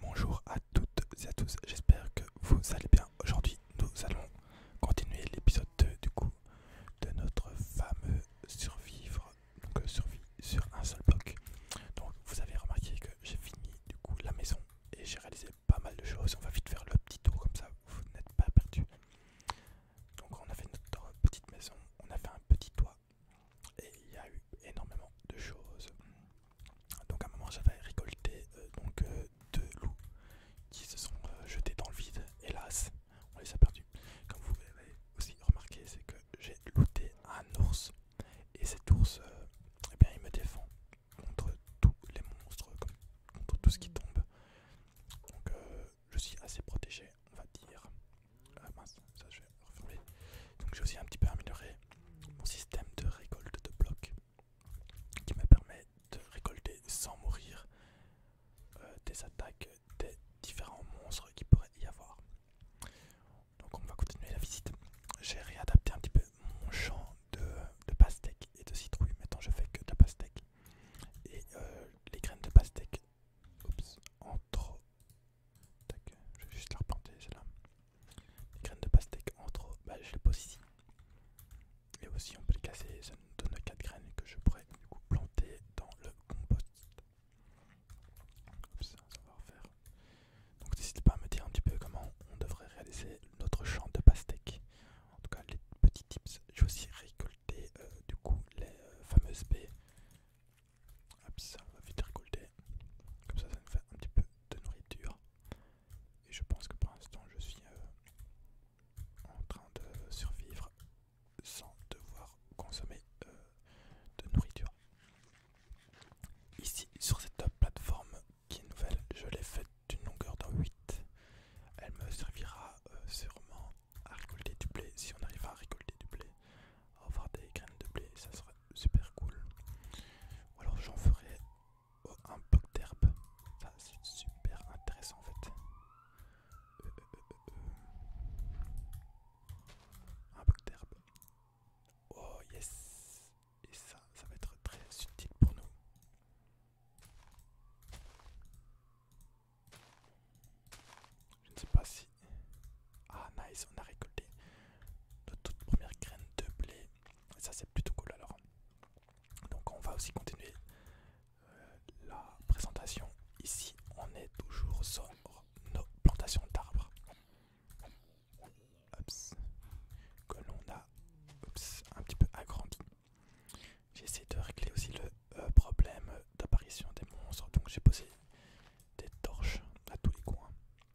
Bonjour à toutes et à tous, j'espère que vous allez bien. Aujourd'hui, nous allons continuer l'épisode 2 du coup de notre fameux survivre, donc euh, survie sur un seul bloc. Donc vous avez remarqué que j'ai fini du coup la maison et j'ai réalisé pas mal de choses. On va vite faire le petit tour comme ça, vous n'êtes pas perdu. Donc on a fait notre petite maison, on a fait un petit toit et il y a eu énormément de choses. Donc à un moment j'avais récolté euh, donc euh, deux loups qui se sont euh, jetés dans le vide. Hélas, on les a perdus. Comme vous l'avez aussi remarqué, c'est que j'ai looté un ours et cet ours, eh bien, il me défend contre tous les monstres, contre tout ce qui tombe. Donc je suis assez protégé, on va dire. Ah, ça je donc j'ai aussi un petit peu amélioré mon système de récolte de blocs qui me permet de récolter sans mourir euh, des attaques des différents monstres qui pourraient y avoir. Donc on va continuer la visite. J'ai réadapté un petit peu mon champ de, de pastèque et de citrouille. Maintenant je fais que de la pastèque. Et euh, les graines de pastèque, entre je vais juste la replanter celle-là. Les graines de pastèque entre trop, bah, je les pose ici. Et aussi on peut les casser, ça nous donne 4 graines que je pourrais du coup planter dans le compost. Donc n'hésitez pas à me dire un petit peu comment on devrait réaliser notre champ de pastèque. En tout cas les petits tips. Je aussi récolter euh, du coup les euh, fameuses baies Hop ça, va vite récolter. Comme ça, ça me fait un petit peu de nourriture. Et je pense que pour l'instant, je suis euh, en train de survivre sans devoir consommer euh, de nourriture. Ici, sur cette plateforme qui est nouvelle, je l'ai faite d'une longueur d'un 8. Elle me servira euh, sûrement à récolter du blé si on arrive à récolter du blé avoir des graines de blé, ça serait super cool. Ou alors j'en ferai euh, un bloc d'herbe, ça c'est super intéressant en fait. Euh, euh, un bloc d'herbe. Oh yes! Et ça, ça va être très subtil pour nous. Je ne sais pas si ah nice, on a récolté notre toute première graine de blé. ça c'est plutôt cool alors. Donc on va aussi continuer euh, la présentation. Ici on est toujours sur nos plantations d'arbres. Que l'on a un petit peu agrandi. J'ai essayé de régler aussi le euh, problème d'apparition des monstres. Donc j'ai posé des torches à tous les coins.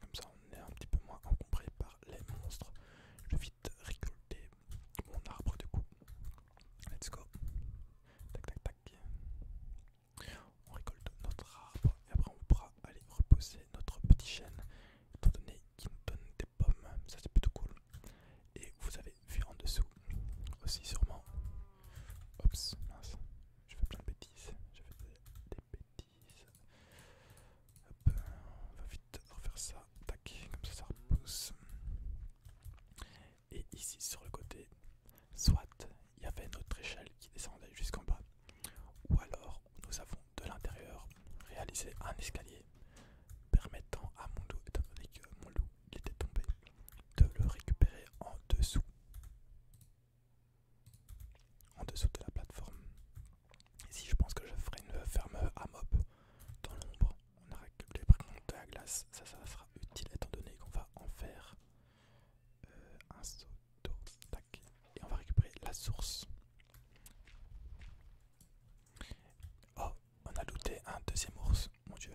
Comme ça, on est un petit peu moins encombré par les monstres. Je vais vite récolter mon arbre de coup. Let's go. Tac tac tac. On récolte notre arbre et après on pourra aller reposer notre petit chêne étant donné qu'il nous donne des pommes. Ça c'est plutôt cool. Et vous avez vu en dessous aussi sûrement. Ops, mince. Je fais plein de bêtises. Je on va vite refaire ça. Tac, comme ça, ça repousse. Et ici sur le côté, soit il y avait une autre échelle qui descendait jusqu'en bas, ou alors nous avons de l'intérieur réalisé un escalier permettant à mon loup, étant donné que mon loup était tombé, de le récupérer en dessous en dessous de la plateforme. Ici, je pense que je ferai une ferme à mob dans l'ombre. On a récupéré par contre de la glace, ça, ça sera utile étant donné qu'on va en faire euh, un saut tac, Et on va récupérer la source. Oh, on a looté un deuxième ours, mon dieu.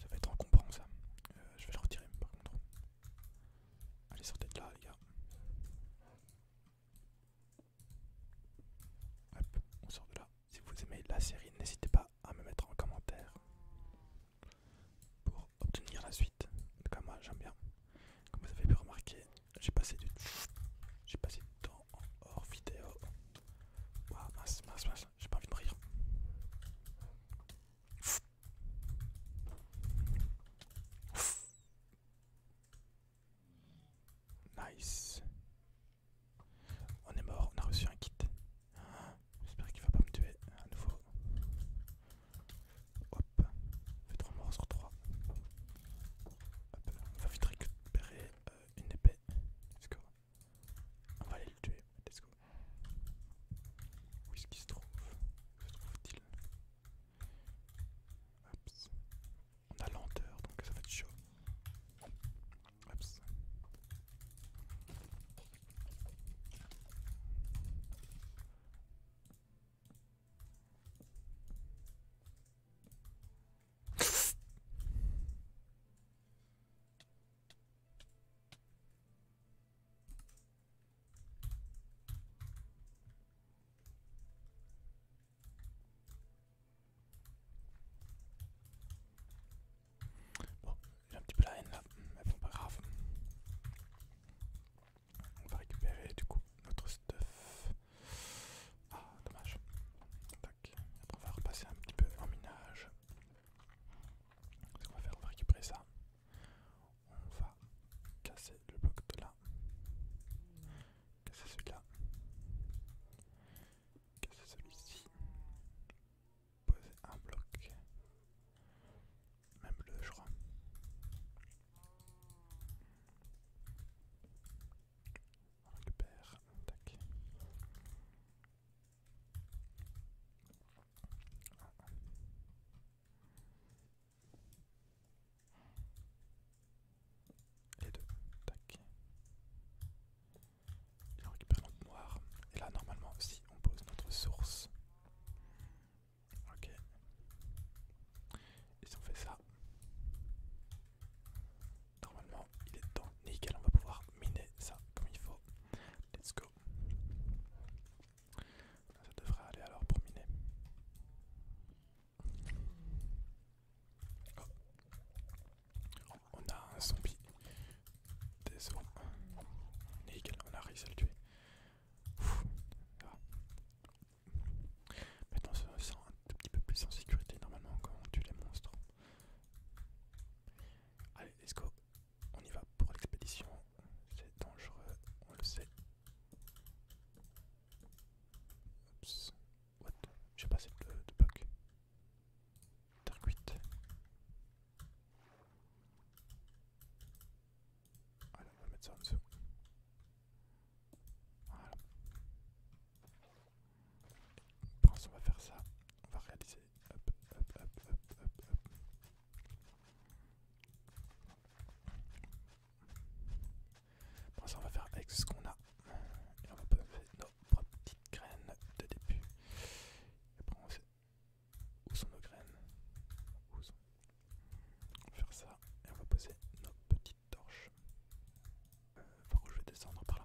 Ça va être encombrant ça. Euh, je vais le retirer par contre. Allez, sortez de là, les gars. Hop, on sort de là. Si vous aimez la série, n'hésitez pas à me mettre en commentaire pour obtenir la suite. En moi j'aime bien. Comme vous avez pu remarquer, j'ai passé du j'ai passé du temps hors vidéo. mince, mince, mince, j'ai pas envie de rire. Nice. On est mort, on a reçu un kit. J'espère qu'il va pas me tuer à nouveau. Hop, fait 3 morts sur 3. Hop, on va vite récupérer euh, une épée. On va aller le tuer. Let's go. Où est-ce qu'il se trouve Se trouve-t-il On a lenteur, donc ça va être chaud. Bon, j'ai un petit peu la haine là, mais bon, pas grave. On va récupérer du coup notre stuff. Ah, dommage. Tac. on va repasser un petit peu en minage. Ce qu'on va faire, on va récupérer ça. On va casser le bloc de là. Casser celui-là. Casser celui-ci. Poser un bloc. Même le je crois. On récupère. Et deux. Tac. Et récupère notre noir. Et là, normalement, si on pose notre source. Ok. Et si on fait ça. Normalement, il est dans Nickel, on va pouvoir miner ça comme il faut. Let's go. Ça devrait aller alors pour miner. Oh. On a un zombie. Désolé. Nickel, on a réussi à le tuer. Ah. Maintenant on se sent un petit peu plus en sécurité normalement quand on tue les monstres. Allez, let's go on y va pour l'expédition. C'est dangereux, on le sait. Oups, what J'ai pas de, de bug. Terre cuite. on va mettre ça en dessous. Voilà. Je pense va faire ça. On va réaliser hop, hop, on va faire avec ce qu'on a. on va poser nos petites graines de début. on où sont nos graines. On va faire ça et on va poser nos petites torches. Euh, je vais descendre par là.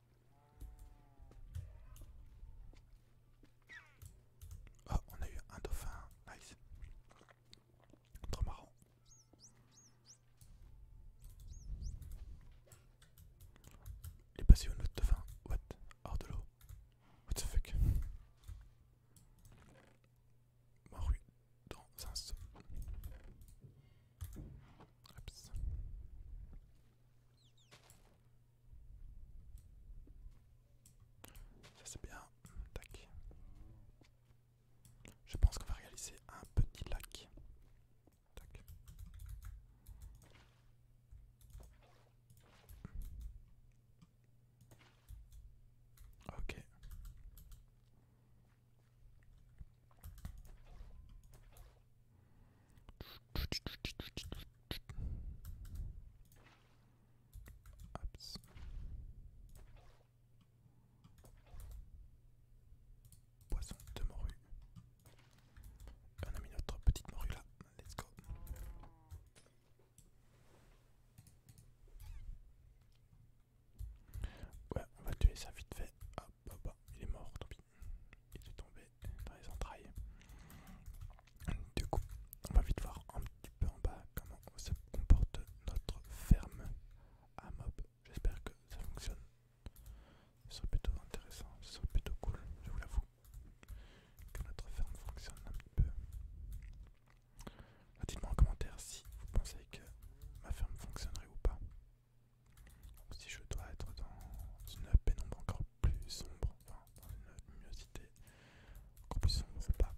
Oh, on a eu un dauphin, nice. Trop marrant. Il est passé au autre dauphin. What? Hors de l'eau. What the fuck? Morue dans un seau. Oups. Ça c'est bien. Tac. Je pense qu'on va réaliser un petit lac. Ok. Poisson de morue. On a mis notre petite morue là. Let's go. Ouais, on va tuer ça vite fait. Ah, bah, bah, il est mort, tant pis. Il est tombé dans les entrailles. Du coup, on va vite voir un petit peu en bas comment se comporte notre ferme à mob. J'espère que ça fonctionne. Ce serait plutôt intéressant, ce serait plutôt cool, je vous l'avoue. Que notre ferme fonctionne un petit peu. Dites-moi en commentaire si vous pensez que ma ferme fonctionnerait ou pas. Donc si je dois être dans une pénombre encore plus sombre, enfin dans une luminosité encore plus sombre pas.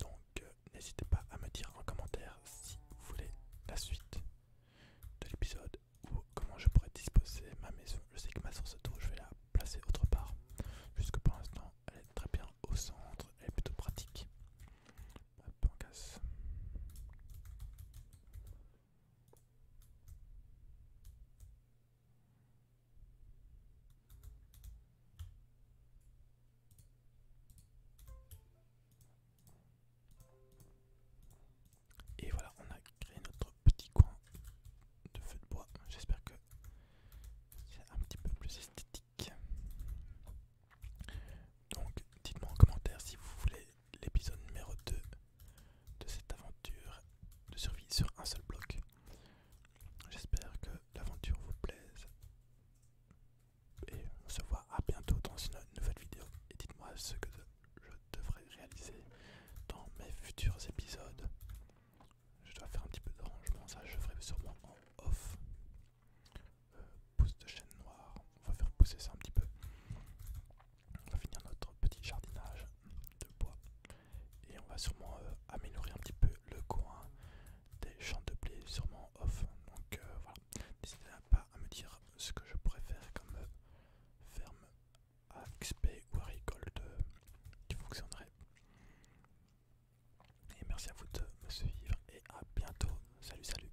Donc euh, n'hésitez pas à me dire en commentaire si vous voulez la suite de l'épisode ou comment je pourrais disposer ma maison. Je sais que ma source d'eau, je vais la placer autre part, puisque pour l'instant elle est très bien au centre, elle est plutôt pratique. Hop, casse. Et voilà, on a créé notre petit coin de feu de bois. J'espère que c'est un petit peu plus esthétique. Donc dites-moi en commentaire si vous voulez l'épisode numéro 2 de cette aventure de survie sur un seul bloc. J'espère que l'aventure vous plaise. Et on se voit à bientôt dans une nouvelle vidéo. Et dites-moi ce que je devrais réaliser dans mes futurs épisodes. Je dois faire un petit peu d'arrangement ça je ferai sûrement en off. Euh, pousse de chaîne noire. On va faire pousser ça un petit peu. On va finir notre petit jardinage de bois. Et on va sûrement euh, améliorer un petit peu le coin des champs de blé, sûrement off. Donc euh, voilà, n'hésitez pas à me dire ce que je pourrais faire comme euh, ferme à XP ou à récolte qui fonctionnerait. Et merci à vous de me suivre et à bientôt. Salut, salut.